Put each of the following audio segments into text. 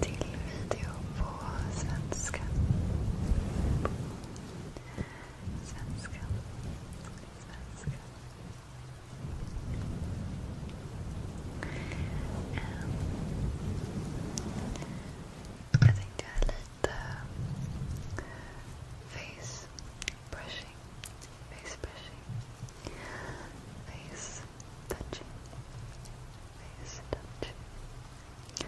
till video på svenska. Svenska. Svenska. Um, jag tänkte göra face brushing. Face brushing. Face touching, face with some thing.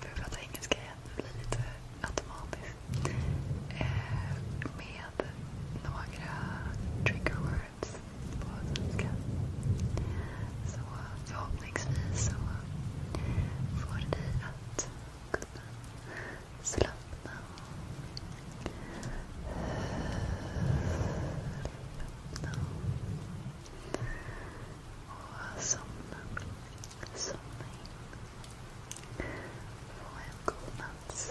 För att prata engelska igen, det blir lite automatiskt. Eh, med trigger words på svenska. Så förhoppningsvis så får ni att kunna Slappna Slappna Och somna Somna in Få en god natts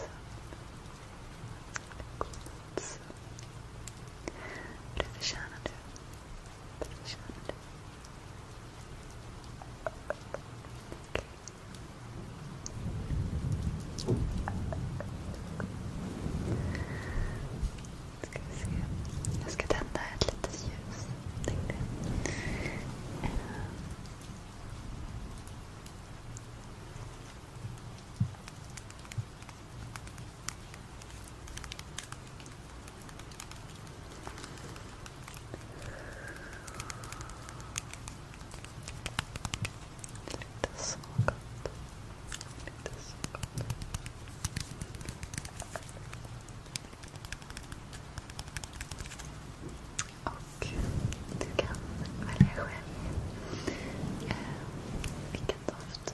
God natts Det förtjänar du Det förtjänar du Okay. Ska vi se. Jag ska tända ett litet ljus. Let this soak up. Let this soak up. Och du kan välja själv eh, vilken doft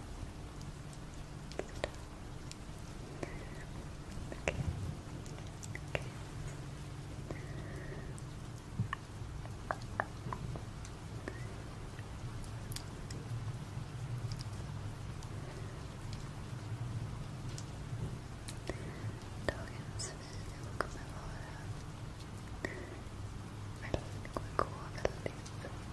Okay. Okay. Dagens video kommer vara väldigt, kommer gå väldigt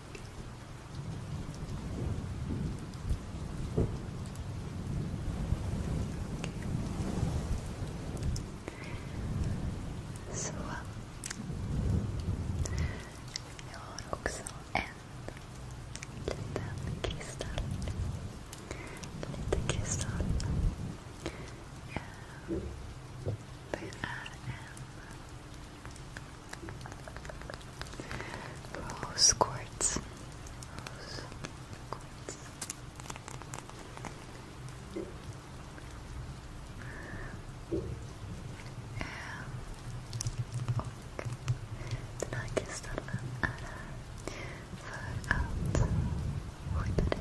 Så. you har också en liten kristall. Lite kristall. Eh, det är en Rose quartz. Rose quartz. Och den här kristallen är för att skydda dig. Skydda dig.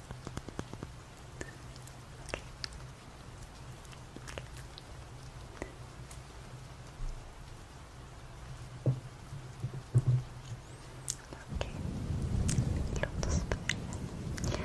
Okay. Okej, okay. låt oss börja. Okay.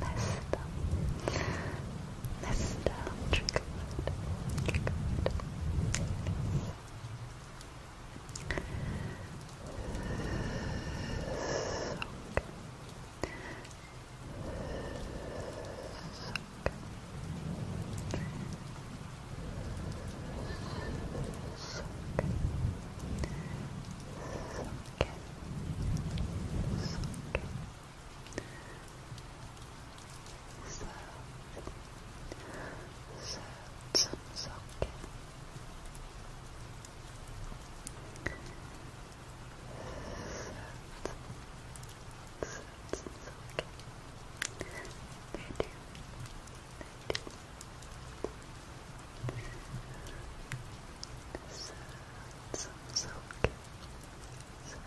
Nesta. Nesta. Trigger word. Trigger word. Sock. Sock. Sock serce, sercem they do. They do. Sercem sokiem. Sercem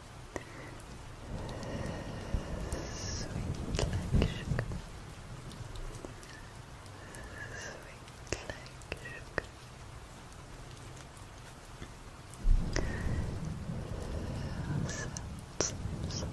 Sweet like sugar. Sweet like sugar. So, so, so Soft, soft, soft,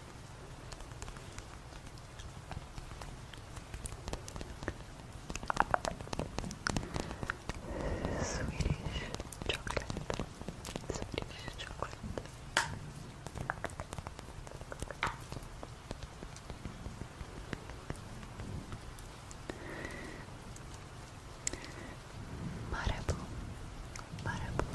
Swedish chocolate. Swedish chocolate. Marabou, Marabou,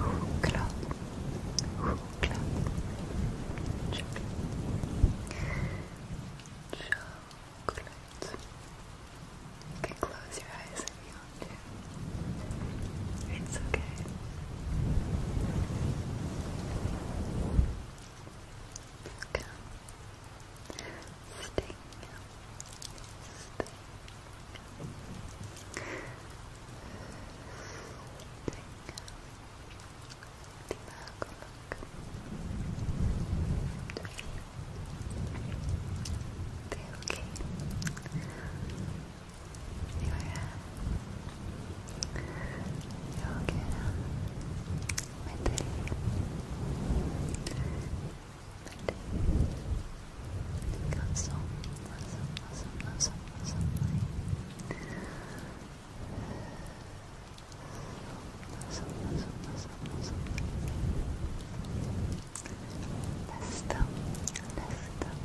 Choklad. Choklad. Chocolate. You can close your eyes if you want to. It's okay. Okay. Sting. Sting. Sting. Tailgate your hand, your mentally, mentally, cancel, cancel, cancel, cancel, cancel, Let's stop. Let's stop.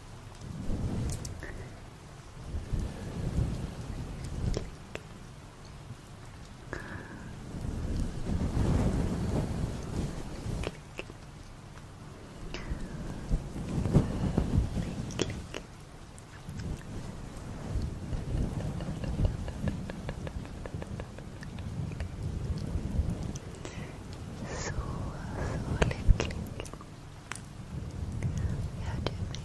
So, so, click, how do we?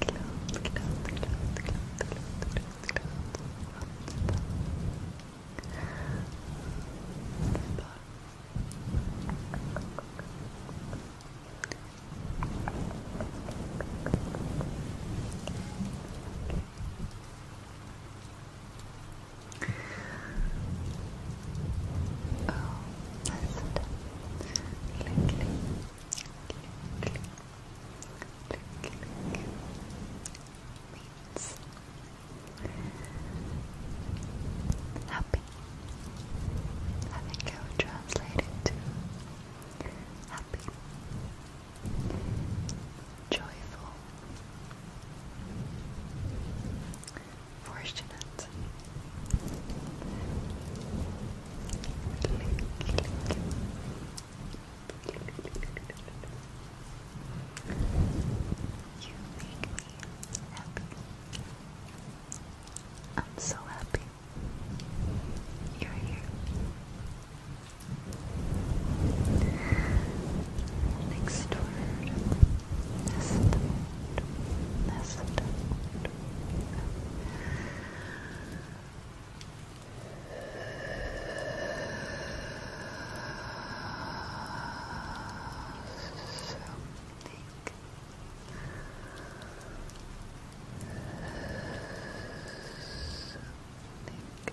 Close, close, close, close, close, close, close. Okay. Oh, that's it. Click, click, click, click, click, click. Means happy. I think I would translate it to happy joyful, fortunate, you happy. I'm so happy you're here next word nest nest something Something.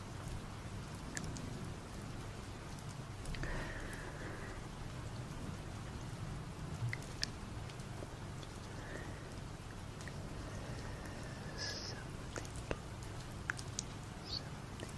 Something. Something. Something.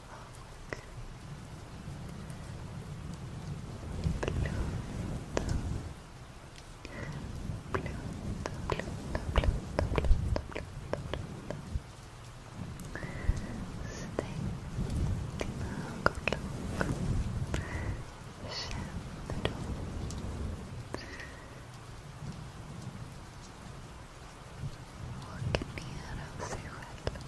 Walken ner av sig själv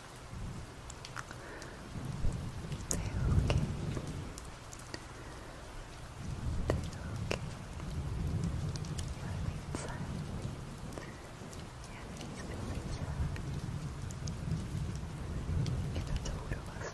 They're okay. They're okay. You're inside. Everything's feeling sad. It's a total lesson. Relax.